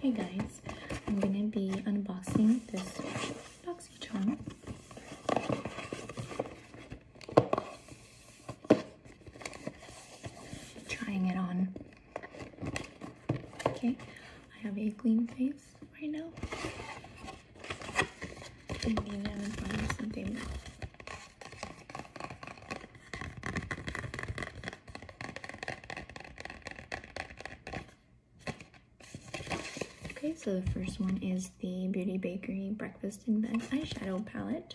Hey guys, I'm gonna be unboxing this boxy charm. Trying it on. Okay, I have a clean face right now. Okay, so the first one is the Beauty Bakery Breakfast in Bed Eyeshadow Palette.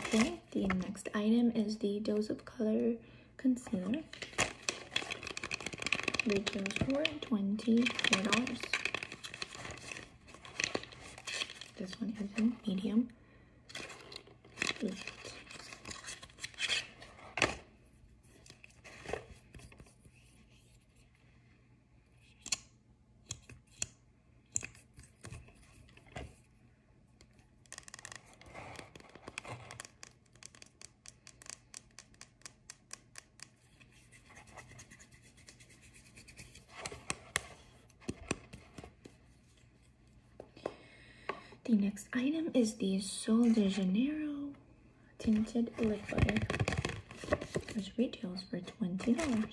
Okay, the next item is the Dose of Color Concealer. Retails for $24. This one is in medium. The next item is the Sol de Janeiro tinted liquid, which retails for $20.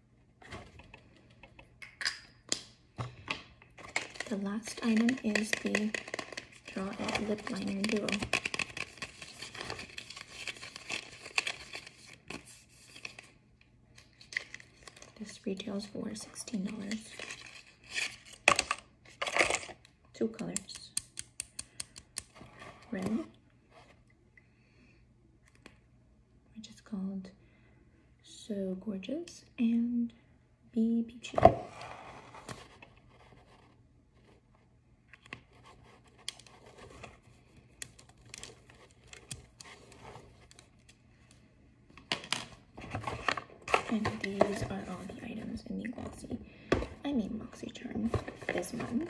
The last item is the Draw It Lip Liner Duo. This retails for $16. Two colors, red which is called So Gorgeous and Be Peachy. And these are all the items in the Glossy, I mean Moxie Charm this month.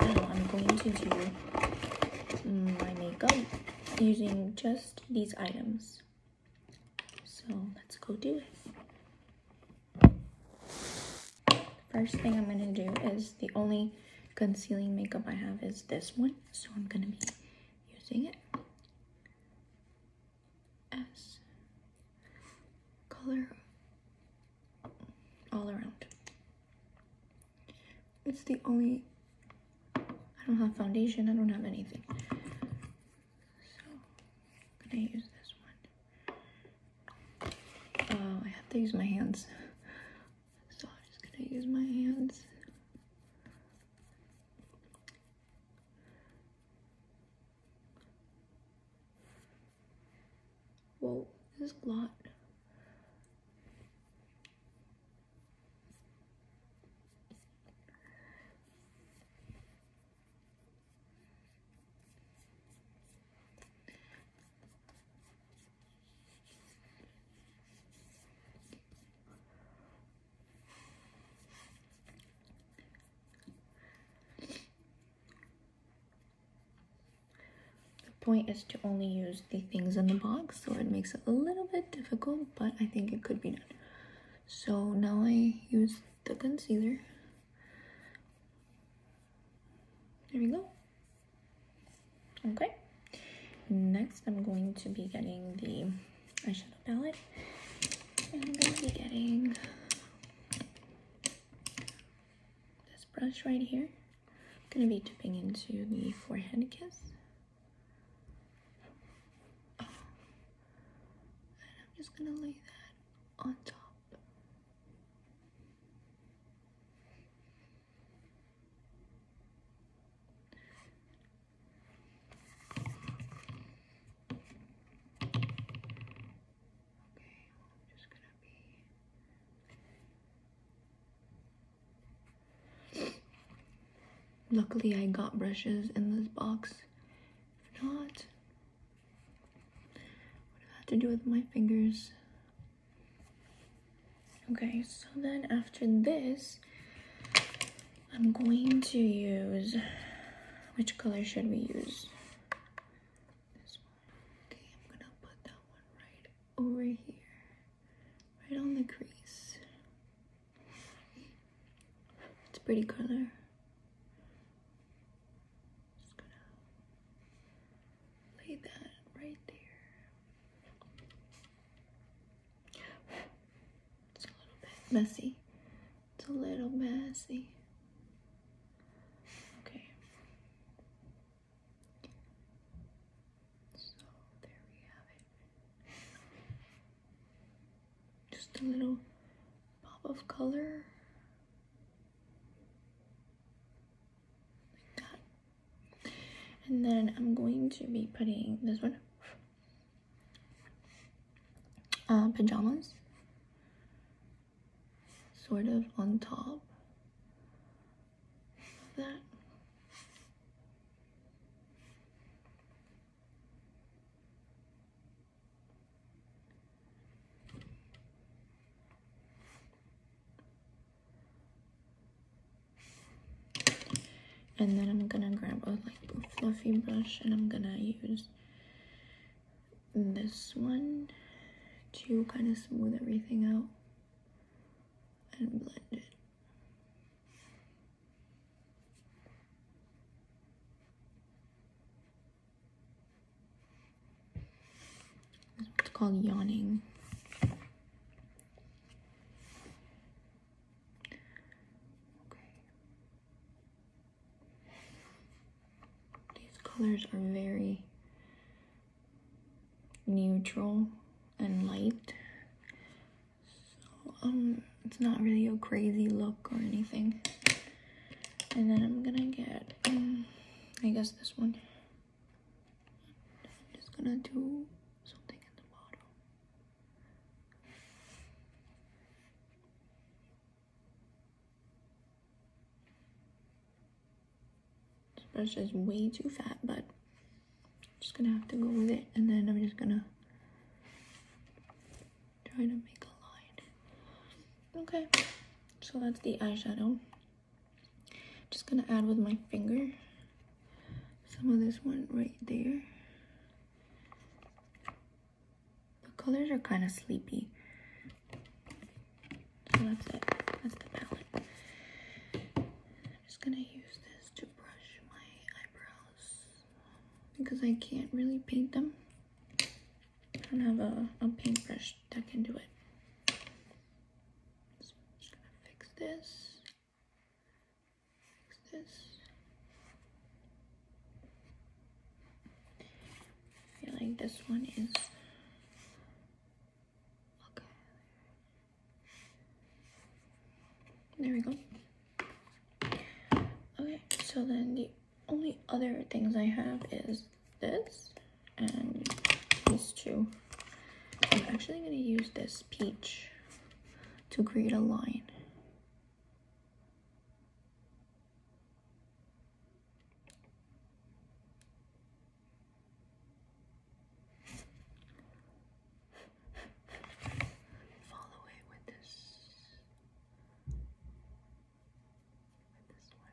now I'm going to do my makeup using just these items. So let's go do it. First thing I'm going to do is the only concealing makeup I have is this one. So I'm going to be using it as color all around. It's the only, I don't have foundation, I don't have anything. So, gonna use this one. Oh, I have to use my hands. So I'm just gonna use my hands. Whoa, this is a lot. The point is to only use the things in the box, so it makes it a little bit difficult, but I think it could be done. So now I use the concealer. There we go. Okay. Next, I'm going to be getting the eyeshadow palette. I'm going to be getting brush right here. I'm going to be dipping into the forehead kiss. And I'm just going to lay that on top. Okay, I'm just gonna be. Luckily, I got brushes in this box. If not, what do I have to do with my fingers? Okay, so then after this, I'm going to use. Which color should we use? Okay, I'm gonna put that one right over here, right on the crease. It's a pretty color. Just gonna lay that right there. It's a little bit messy. It's a little messy. Okay, so there we have it. Just a little pop of color. Like that. And then I'm going to be putting this one. Uh, pajamas sort of on top of that. And then I'm gonna grab a like fluffy brush and I'm gonna use this one to kind of smooth everything out and blend it. It's called yawning. These colors are very neutral and light. So, um, it's not really a crazy look or anything. And then I'm gonna get, um, I guess this one. I'm just gonna do something in the bottom. This brush is way too fat, but I'm just gonna have to go with it. And then I'm just gonna try to make a line. Okay, so that's the eyeshadow. Just gonna add with my finger some of this one right there. The colors are kind of sleepy. So that's it. That's the palette. I'm just gonna use this to brush my eyebrows because I can't really paint them. I don't have a, a paintbrush can do it. fix this. Fix this. I feel like this one is Okay. There we go. Okay, so then the only other things I have is this and these two. I'm actually going to use this peach to create a line. Follow it with this with this one.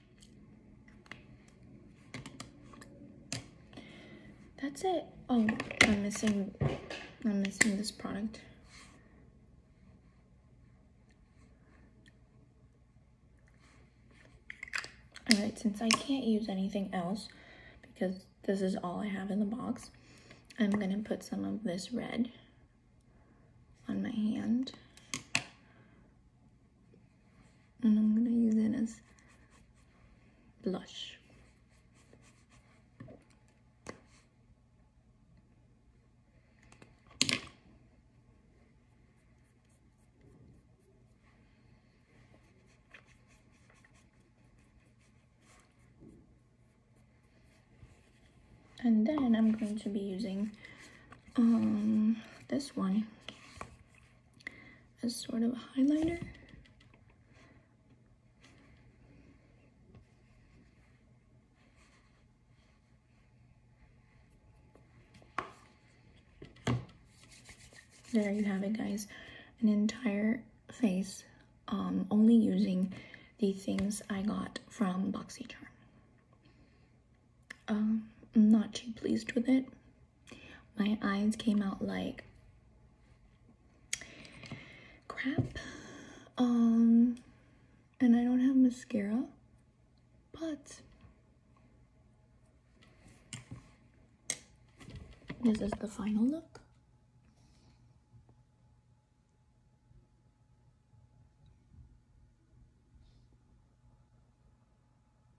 That's it. Oh, I'm missing, I'm missing this product. All right, since I can't use anything else because this is all I have in the box, I'm gonna put some of this red on my hand and I'm gonna use it as blush and then I'm going to be using um, this one as sort of a highlighter. There you have it guys, an entire face um, only using the things I got from BoxyCharm. Um, I'm not too pleased with it, my eyes came out like crap. Um, and I don't have mascara, but this is the final look.